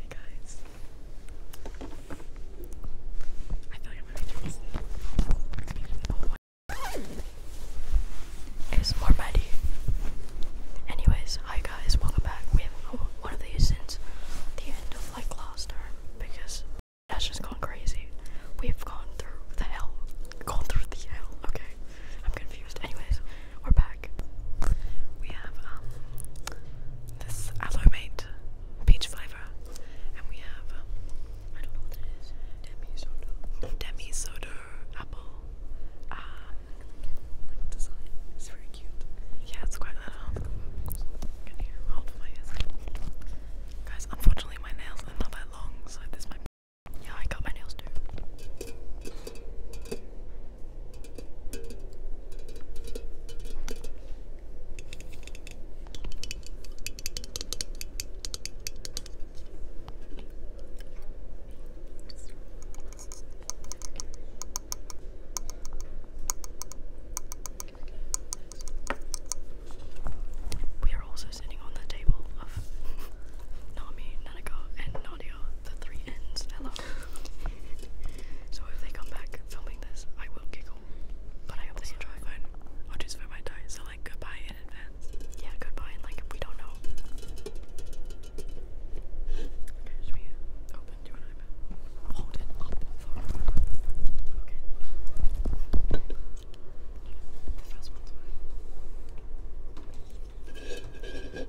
Hey guys. I feel like I'm gonna It's more muddy. Anyways, hi guys, welcome back. We haven't got one of these since the end of like last term because that's just gone crazy. We've gone through the hell. Gone through the hell. Okay. I'm confused. Anyways, we're back. We have um this aloe mate peach flavor, and we have um, I don't know what it is. Demi soda. Demi soda apple. Um, like the design. It's very cute. Yeah, it's quite little. Can you hold my ears? Guys, unfortunately, my nails are not that long, so this might. Yeah, I got my nails too. We are also sitting on the table of Nami, Nanako, and the three ends. Hello. so if they come back filming this, I will giggle. But I hope they enjoy. Fine. just wear my tie. So like goodbye in advance. Yeah, goodbye. And like we don't know. Okay,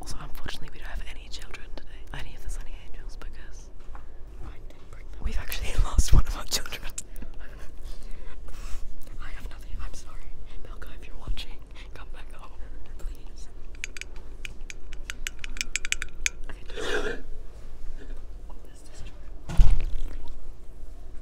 Also, unfortunately, we don't have any children today, any of the Sunny Angels, because We've actually lost one of our children. I have nothing. I'm sorry, Malco. If you're watching, come back home, please. Oh,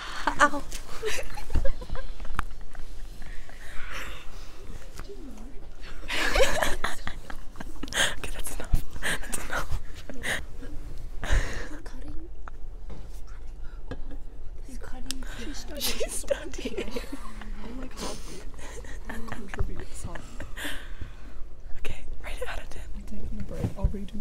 okay, that's enough. That's enough. cutting. cutting. She's studying. She's studying. oh Okay, rate out of 10. I'm taking a break. I'll redo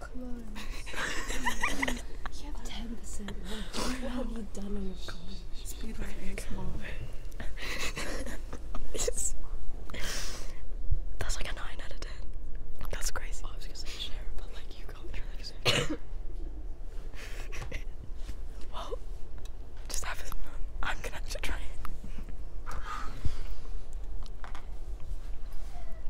clones. you have ten percent left. have you done on Speed like It's That's like a nine out of ten. That's crazy. well, just have fun. I'm going to try it.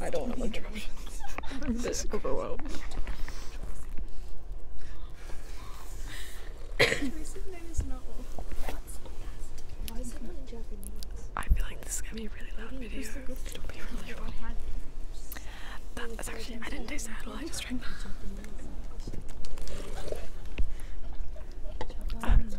I don't know want to interruptions. I'm this overwhelmed. I feel like this is gonna be a really loud video. It'll be really funny. That is actually, I didn't taste that at all, I just drank that.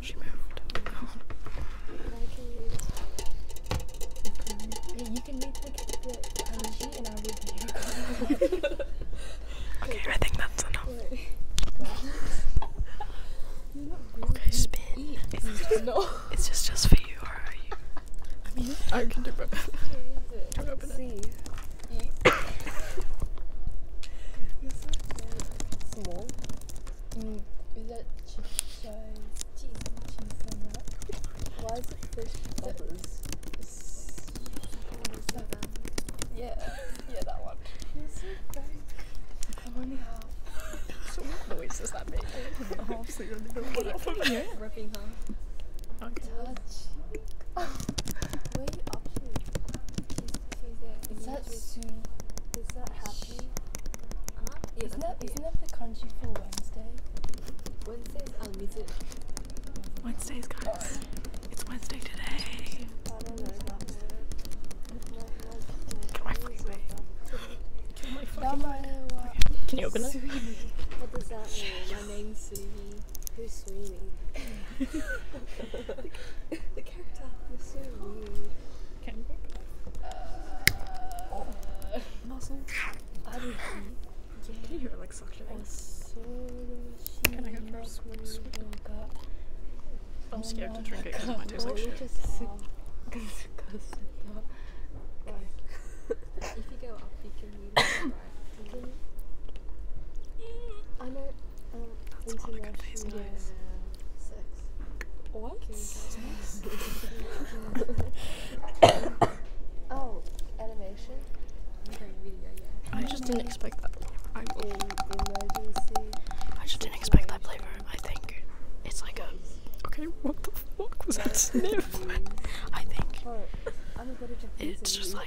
Okay. i think that's enough. okay, spin. no. it's just just for you, I mean, I can do both. Open it. small. Mm, is that cheese? Cheese, cheese and that. it fish Yeah, yeah, that one. you I'm only half. So what noise that make? of here. Ripping half. Okay. Touch. Way up here. Is that Sui? Is happy? isn't that isn't that the country for Wednesday? Wednesday is unmuted. Wednesdays, guys. It's Wednesday today. Can you open it? My name's Sui. Who's Sweeney? the, character, Can you hear uh, like suctioning? Can I go for a swig? I'm oh scared to drink it because mine tastes like shit. If I'm I just didn't expect that. I, just didn't expect that flavor. I think it's like a. Okay, what the fuck was that sniff? I think. It's just like.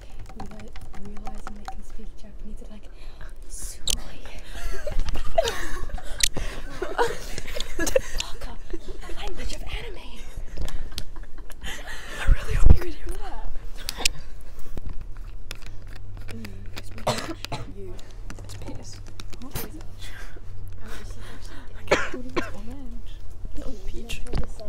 reali realizing they can speak Japanese, they like, Welcome, language of anime. I really hope you can hear that. Mm, you. It's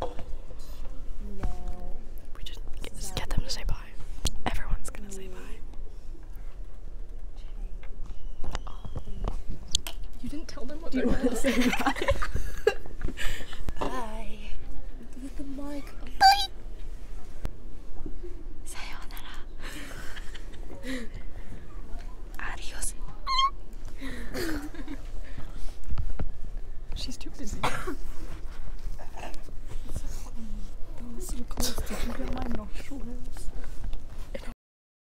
No. We just get, them to say bye. Everyone's gonna say bye. You didn't tell them what Do you wanted to say bye. the mic. Bye. Sayonara. Adios. She's too busy. Those close to get my nostrils. Hey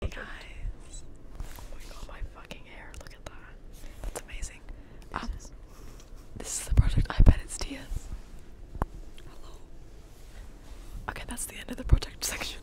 guys. Oh my god, my fucking hair. Look at that. It's amazing. this is the project. I bet it's Tia's. Hello. Okay, that's the end of the project section.